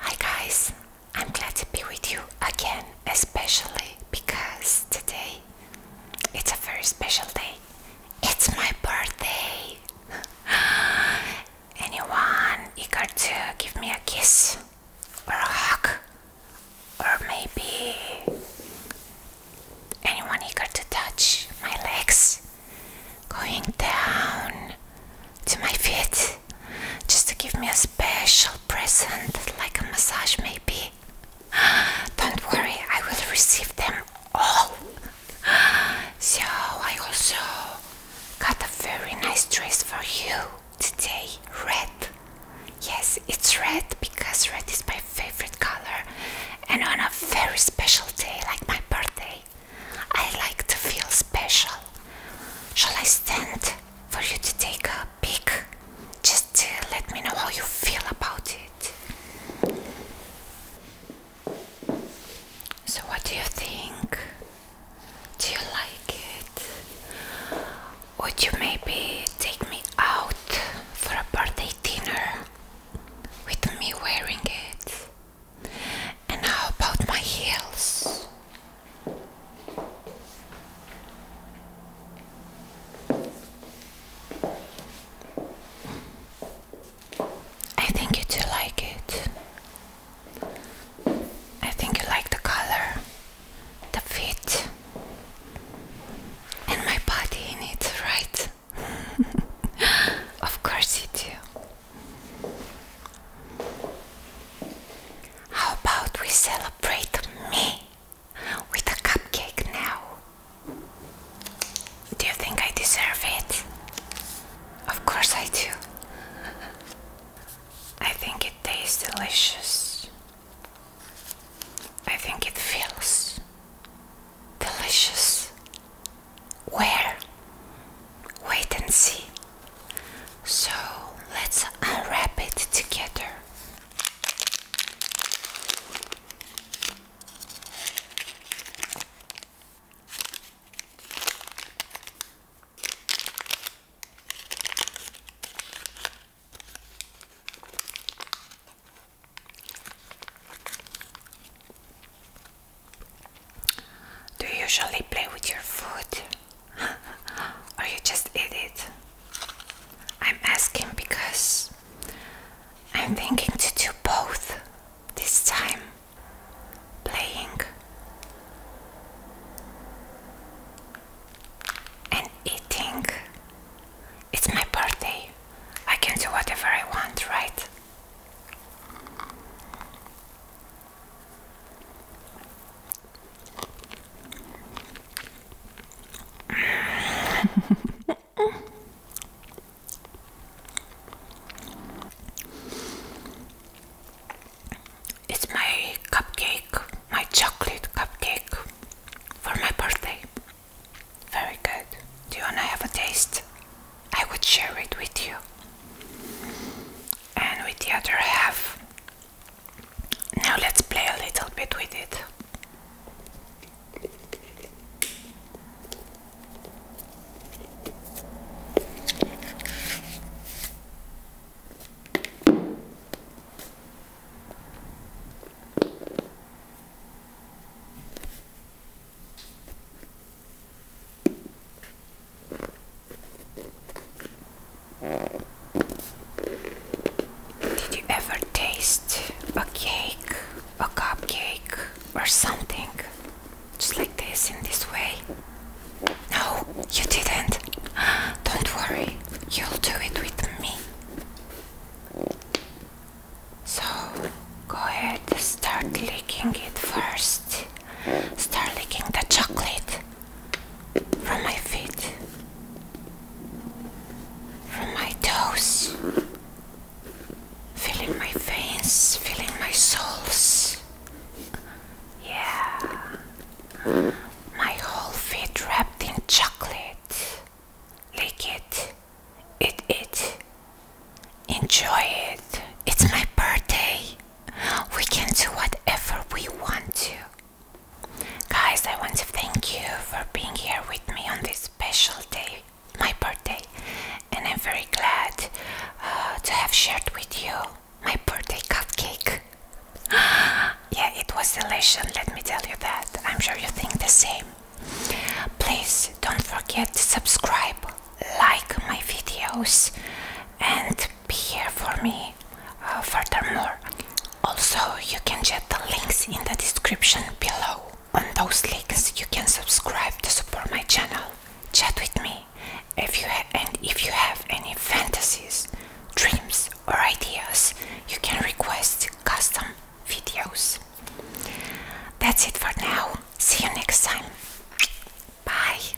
Hi guys, I'm glad to be with you again, especially because today it's a very special day. It's my birthday. Anyone eager to give me a kiss or a hug? Or maybe anyone eager to touch my legs going down to my feet? just to give me a special present, like a massage, maybe. Don't worry, I will receive them all. So, I also got a very nice dress for you today red. Yes, it's red because red is my favorite color, and on a very special day like my birthday, I like to feel special. Shall I stand for you to take a peek? Just to let me know how you feel about it. So, what do you think? Do you like it? Would you maybe take me out for a birthday dinner with me wearing it? And how about my heels? I think you do like it. I think you like the color, the fit, and my body in it, right? of course you do. How about we celebrate me with a cupcake now? Do you think I deserve it? Of course I do. I think it tastes delicious. I think it feels delicious. Where? wait and see. So let's unwrap it together. Do you usually play with your food? or you just eat it? I'm asking because I'm thinking to do both this time. Playing and eating. It's my birthday. I can do whatever I want, right? it's my cupcake, my chocolate cupcake for my birthday. Very good. Do you want to have a taste? I would share it with you. And with the other half, now let's play a little bit with it. Did you ever taste a cake, a cupcake, or something just like this in this way? No, you didn't. Don't worry, you'll do it with me. So go ahead, start licking it first. Start licking the chocolate from my feet, from my toes, feeling my veins, feeling my souls. Yeah, my whole feet wrapped in chocolate. Lick it, eat it, enjoy it. It's my birthday we can do whatever we want to. Guys, I want to thank you for being here with me on this special day, my birthday, and I'm very glad uh, to have shared with you my birthday cupcake. yeah, it was delicious, let me tell you that. I'm sure you think the same. Please don't forget to subscribe, like my videos, and be here for me. Uh, furthermore, also you can check the links in the description below. On those links, you can subscribe to support my channel. Chat with me, if you and if you have any fantasies, dreams, or ideas, you can request custom videos. That's it for now. See you next time. Bye.